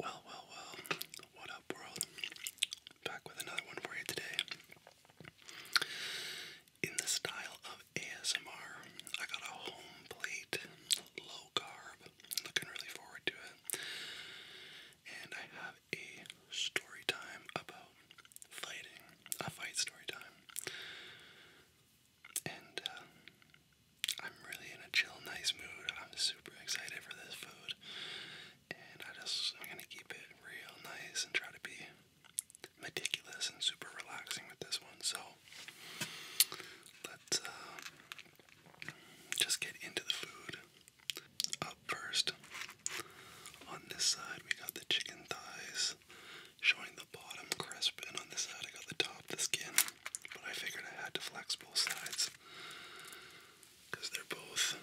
Well, well, well, what up, world? Back with another one for you today. In the style of ASMR, I got a home plate, low carb, looking really forward to it. And I have a story time about fighting, a fight story time. And uh, I'm really in a chill, nice mood. I'm super excited for this food, and I just I'm gonna keep it real nice and try to be meticulous and super relaxing with this one. So let's uh, just get into the food. Up first, on this side we got the chicken thighs, showing the bottom crisp, and on this side I got the top, the skin. But I figured I had to flex both sides because they're both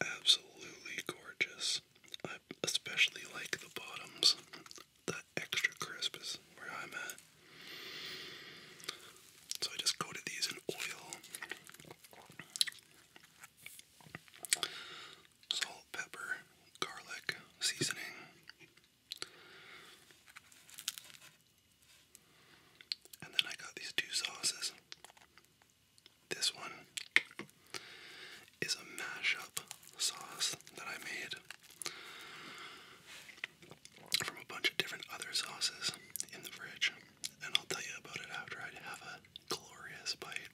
absolutely gorgeous. I especially like the bottoms. That extra crisp is where I'm at. So I just coated these in oil, salt, pepper, garlic, seasoning, and then I got these two sauces. This one is a mashup sauce that I made from a bunch of different other sauces in the fridge. And I'll tell you about it after I have a glorious bite.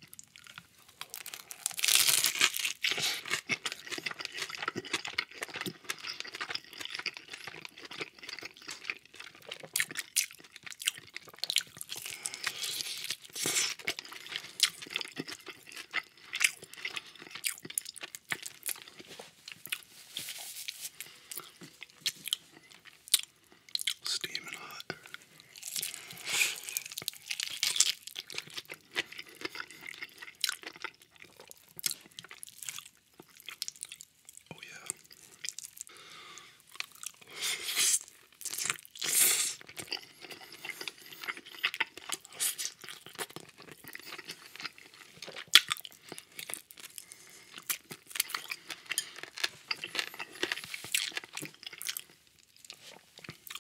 Steaming hot. Oh, yeah.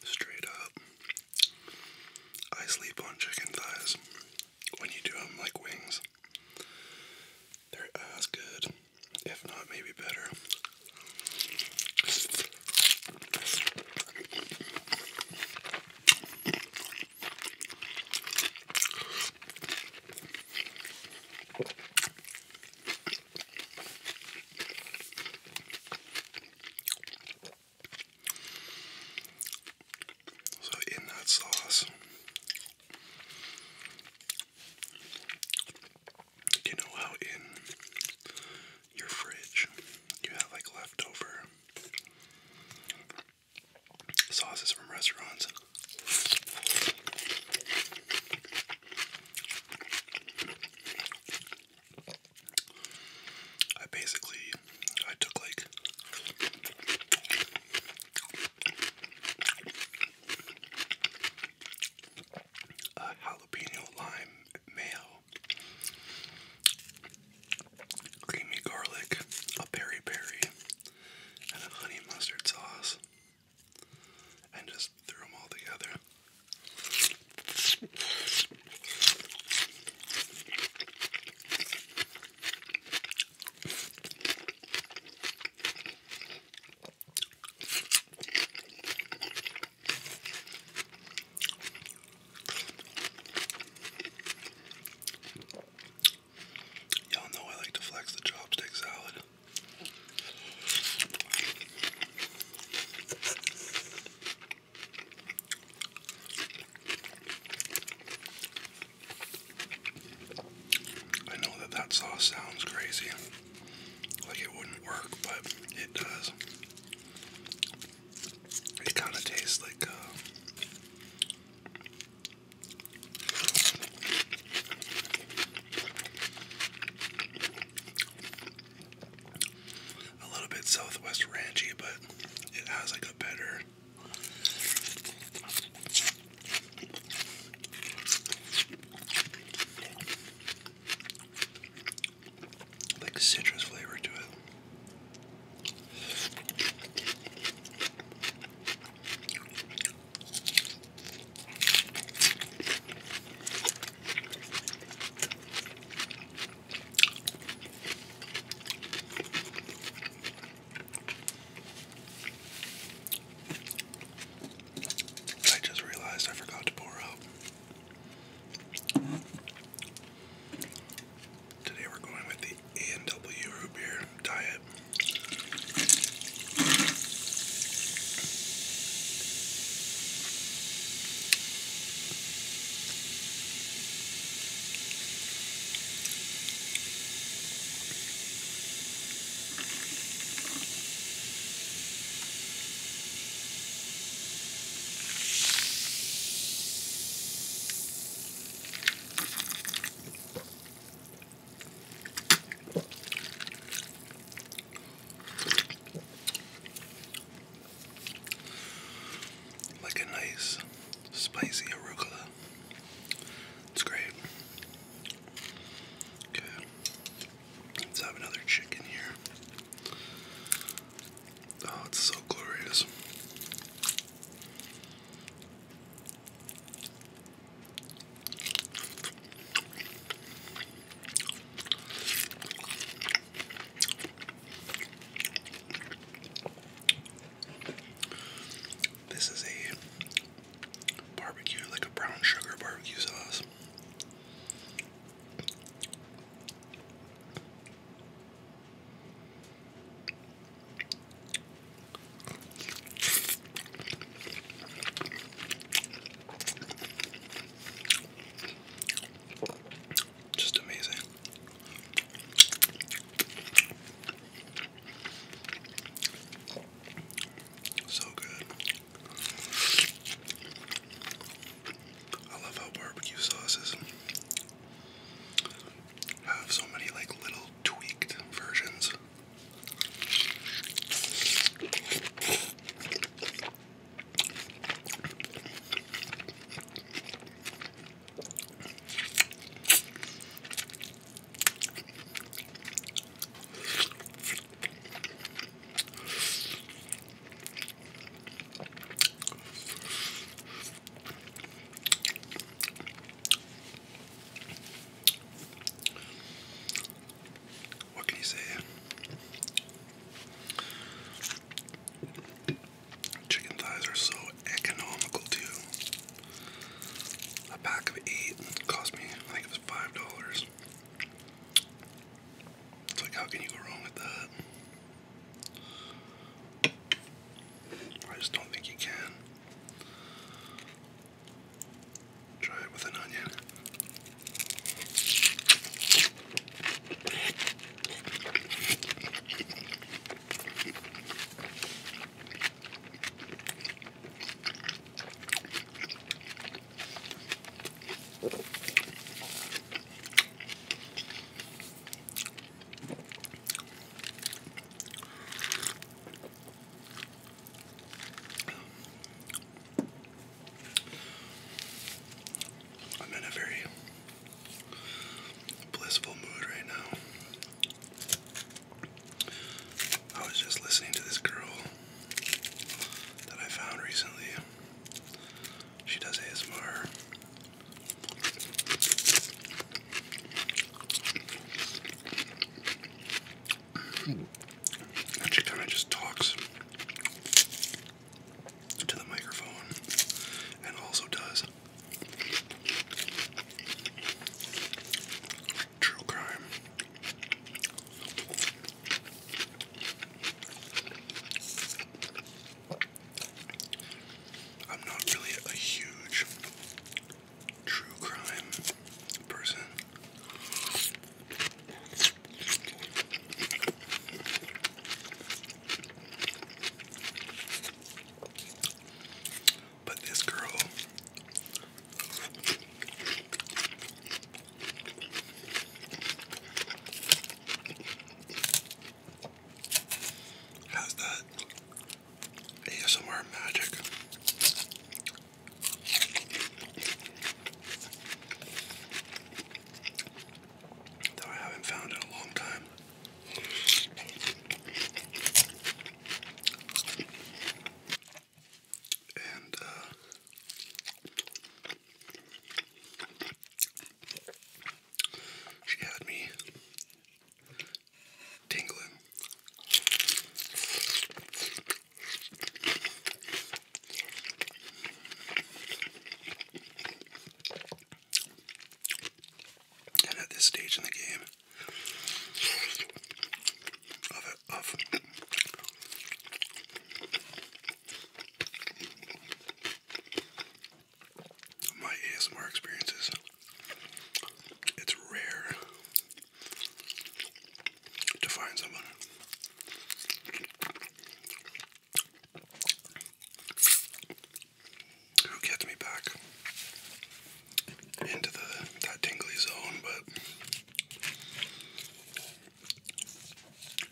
Straight up, I sleep on chicken thighs when you do them like wings. They're as good, if not maybe better. So, in that sauce, you know how in your fridge you have like leftover sauces from restaurants? I basically I took like a jalapeno lime mayo, creamy garlic, a peri peri, and a honey mustard sauce, and just threw them all together. Y'all know I like to flex the chopstick salad. I know that that sauce sounds crazy, like it wouldn't work, but it does. It kind of tastes like uh, a little bit Southwest ranchy, but it has like a better like citrus flavor to it. I just realized I forgot to pour out. Today we're going with the A&W root beer diet. Like a nice spicy arugula. It's great. Okay, let's have another chicken here. Oh, it's so glorious. This is a barbecue, like a brown sugar barbecue sauce. Just amazing. So good. I love how barbecue sauces have so many like little tweaked versions. What can you say? Chicken thighs are so economical too. A pack of eight cost me, I think it was five dollars. It's like, how can you go wrong with that? I just don't think you can. Try it with an onion. I'm in a very blissful mood right now. I was just listening to this girl that I found recently. She does ASMR. And she kind of just talks to the microphone and also does True crime. I'm not really a huge true crime person. But this girl has that ASMR magic. Though I haven't found in a long time. And uh, she had me tingling. And at this stage in the game, of, of my ASMR experiences, it's rare to find someone who gets me back into the that tingly zone, but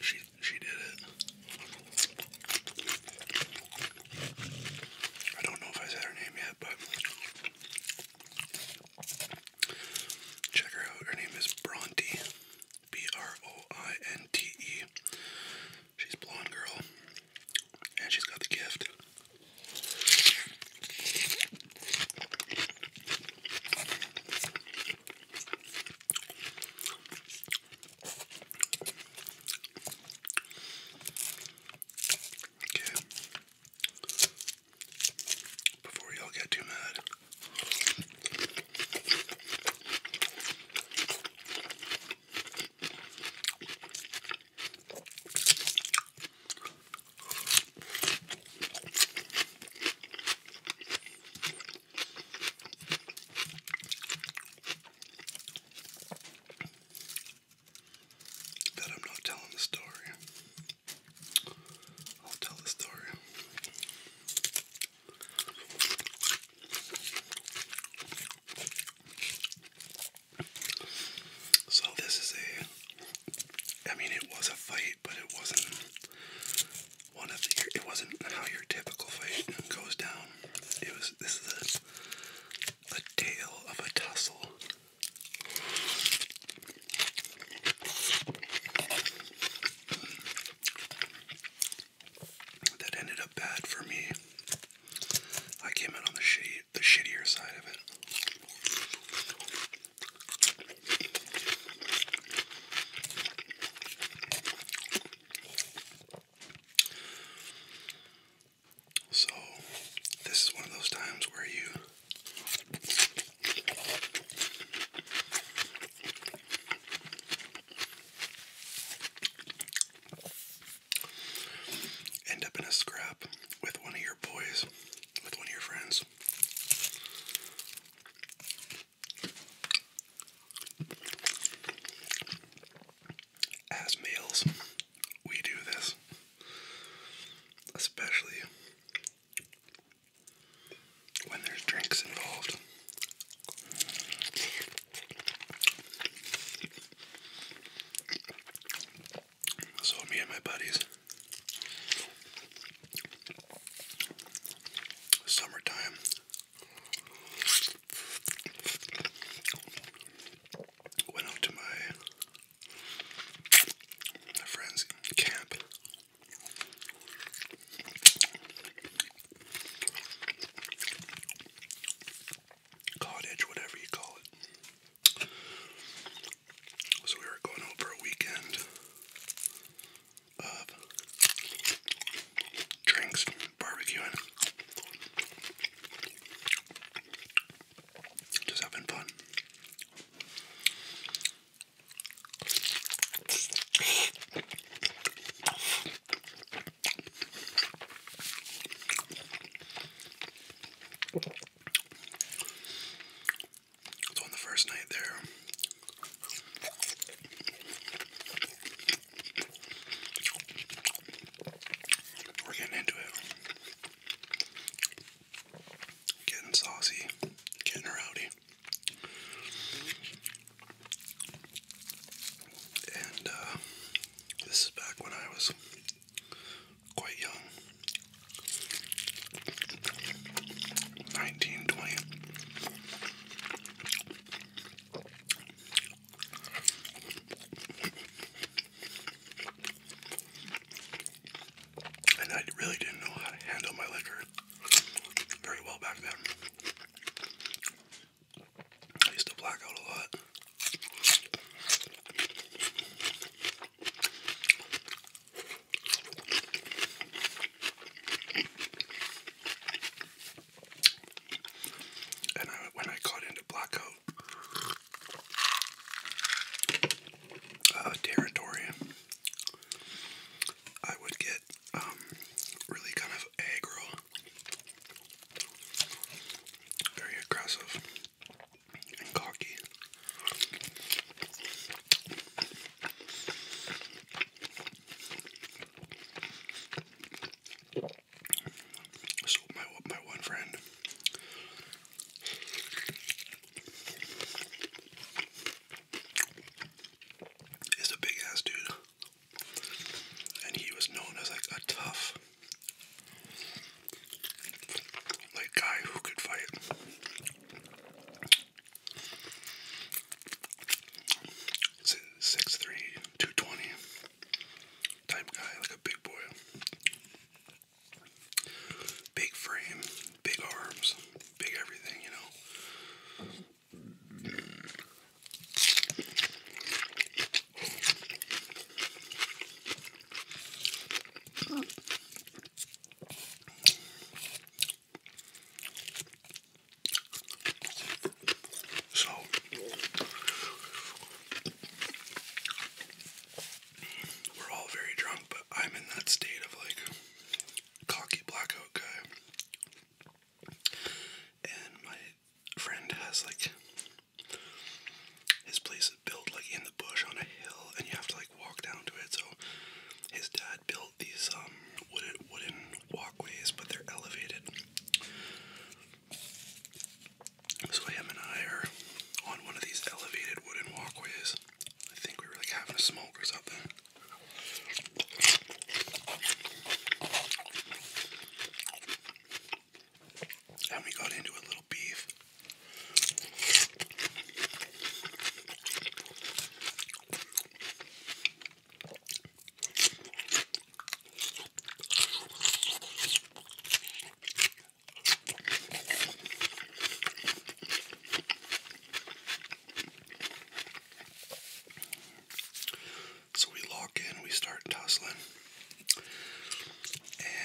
she she did it. I don't know if I said her name yet, but check her out. Her name is Bronte. B R O I N T E. She's blonde girl. And she's got the gift. Okay. Before y'all get too mad. That I'm not telling the story. I'll tell the story. So this is a I mean it was a fight, but it wasn't one of the it wasn't how your typical fight goes down. It was this is a a tale of a tussle. That ended up bad for me. I came out on the the shittier side of it. So, this is one of those times where you end up in a scrap with one of your boys, with one of your friends. As males, we do this, especially when there's drinks involved. So me and my buddies, summertime, went out to my my friend's camp cottage, whatever you call it. So we were going out a weekend of drinks, barbecuing, just having fun on the first night there, we're getting into it, getting saucy, getting rowdy. And uh, this is back when I was quite young. 19, And I really didn't know how to handle my liquor very well back then. I used to black out a lot. And I, when I got into blackout uh, territory, I would get um, really kind of aggro, very aggressive and cocky. So my my one friend is a big ass dude, and he was known as like a tough like guy who could fight. Six three, two twenty type guy, like a big boy. Big frame, big arms, big everything, you know. So we're all very drunk, but I'm in that state of like cocky blackout And my friend has like his place is built like in the bush on a hill, and you have to like walk down to it. So his dad built these um wooded wooden walkways, but they're elevated. So him and I are on one of these elevated wooden walkways. I think we were like having a smoke or something and we got into a little beef. So we lock in, we start tussling.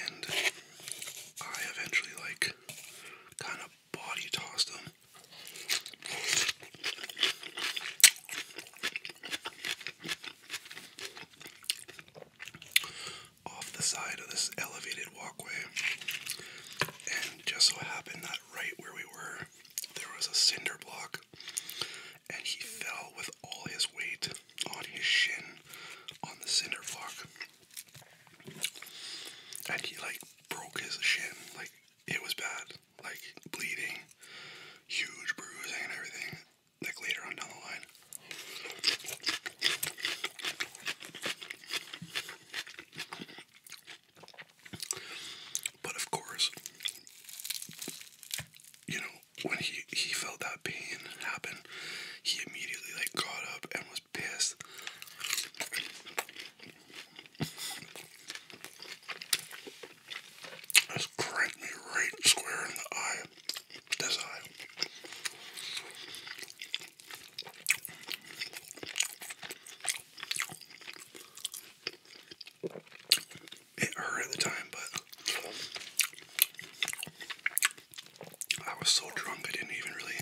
And I eventually, like, kind of body tossed him. Off the side of this elevated walkway, and just so happened that right where we were, there was a cinder block, and he fell with all his weight on his shin on the cinder block. And he like broke his shin. Like it was bad. Like bleeding, huge bruising and everything. Like later on down the line. But of course, you know, when he, he felt that pain happen, he immediately like got up and was pissed. Just cranked me right square in the eye. This eye. It hurt at the time, but I was so drunk I didn't even really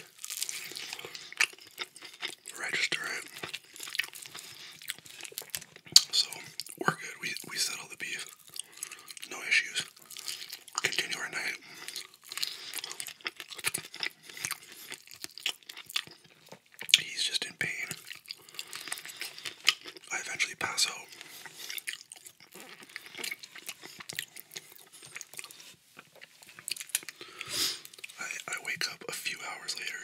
register it. So we're good. We we settled the beef. No issues. Continue our night. He's just in pain. I eventually pass out. I, I wake up a few hours later.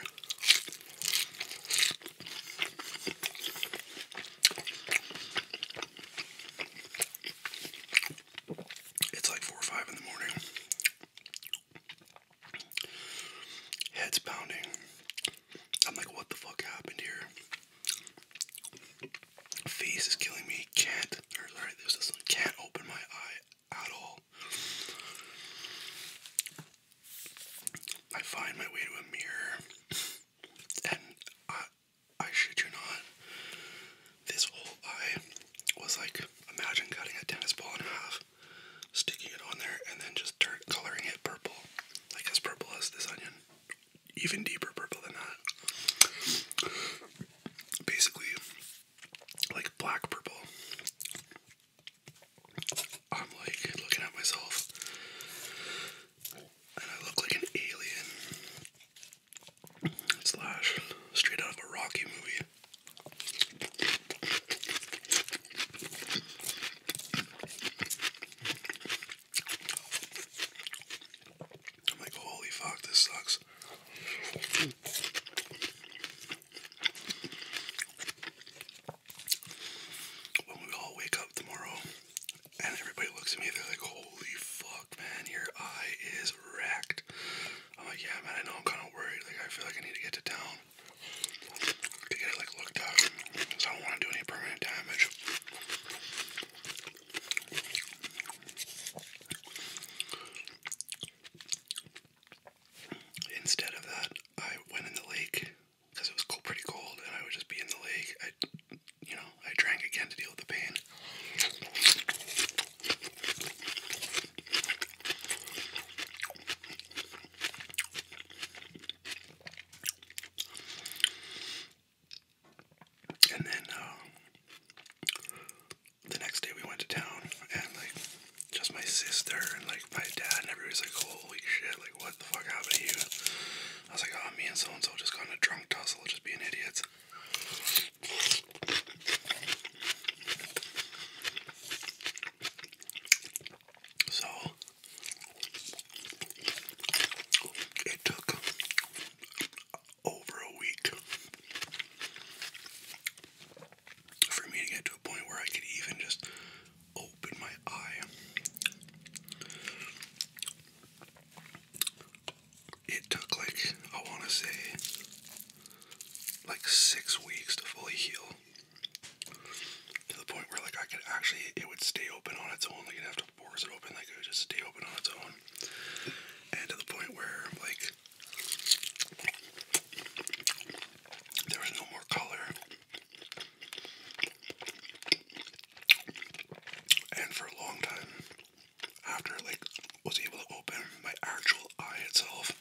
It's like four or five in the morning. Head's pounding, I'm like, what the fuck happened here? Face is killing me. Can't, sorry, there's this one. Can't open my eye at all. I find my way to a mirror, and I, I shit you not, this whole eye was like, imagine cutting a tennis ball in half, sticking it on there, and then just coloring it purple, like as purple as this onion even deeper purple than that. Basically, like black purple. I'm like looking at myself, and I look like an alien slash straight out of a Rocky movie. I'm like, holy fuck, this sucks. When we all wake up tomorrow and everybody looks at me, they're like, holy fuck, man, your eye is wrecked. I'm like, yeah, man, I know I'm kind of worried. Like, I feel like I need to get to town to get it, like, looked at because I don't want to do any permanent damage. Instead of that, I went in the lake because it was pretty cold, and I would just be in the lake. I, you know, I drank again to deal with the pain. And then uh, the next day we went to town, and like just my sister and like my dad and everybody's like, "Holy shit! Like what the fuck happened to you?" I was like, "Oh, me and so and so just got in a drunk tussle, just being idiots." So it took over a week for me to get to a point where I could even just open my eye. It took like, I want to say, like six weeks to fully heal. To the point where, like, I could actually, it would stay open on its own. Like, it'd have left bores it open, like it would just stay open on its own. And to the point where, like, there was no more color. And for a long time, after like, was able to open, my actual eye itself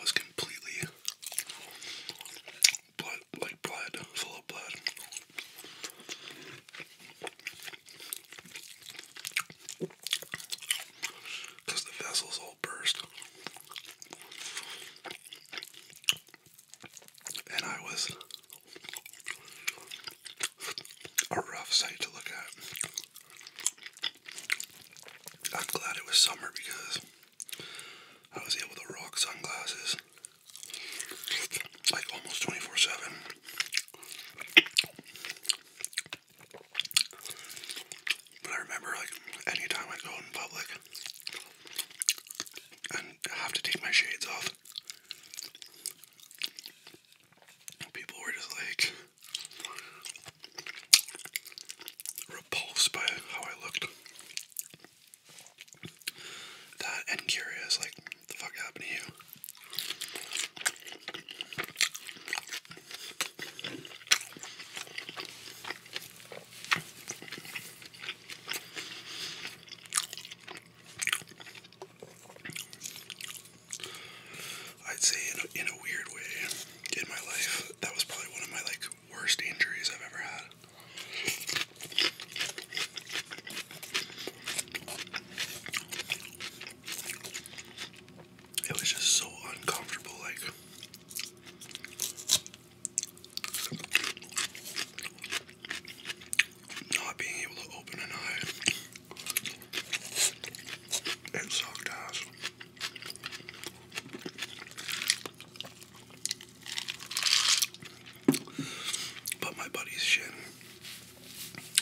was completely blood, like blood, full of blood. the vessels all burst. And I was a rough sight to look at. I'm glad it was summer because I was able to rock sunglasses like almost 24 7. But I remember, like, anytime I go in public and have to take my shades off, people were just like repulsed by how I looked that and curious, like, what the fuck happened to you? I'd say in a, in a weird way in my life that was probably one of my like worst injuries I've ever had. It was just so uncomfortable, like. Not being able to open an eye. It sucked ass. But my buddy's shin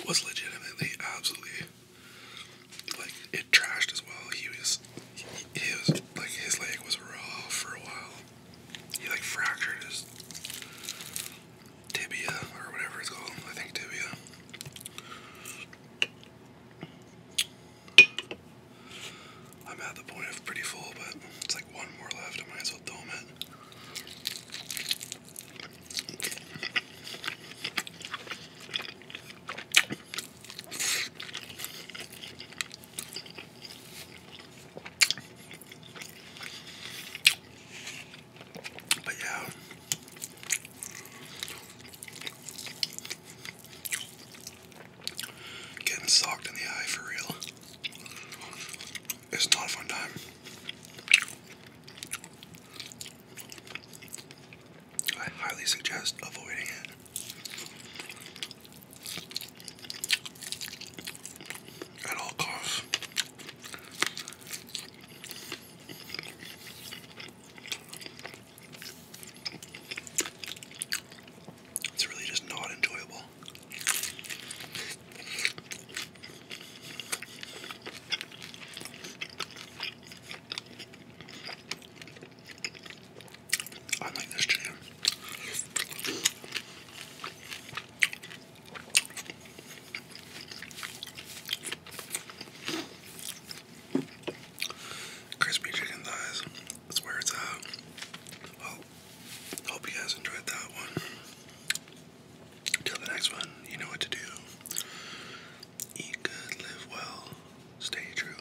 was legitimately absolutely like it trashed as well. He was he, was like his leg was raw for a while. He like fractured his tibia or whatever it's called. I think tibia. I'm at the point of pretty full, but it's like one more left. I might as well I'll dome it. But yeah. Getting socked in the eye for real. It's not a fun time. I highly suggest avoiding it. At all costs. It's really just not enjoyable. I like this jam. Crispy chicken thighs that's where it's at. Well, hope you guys enjoyed that one. Till the next one, you know what to do. Eat good, live well, stay true.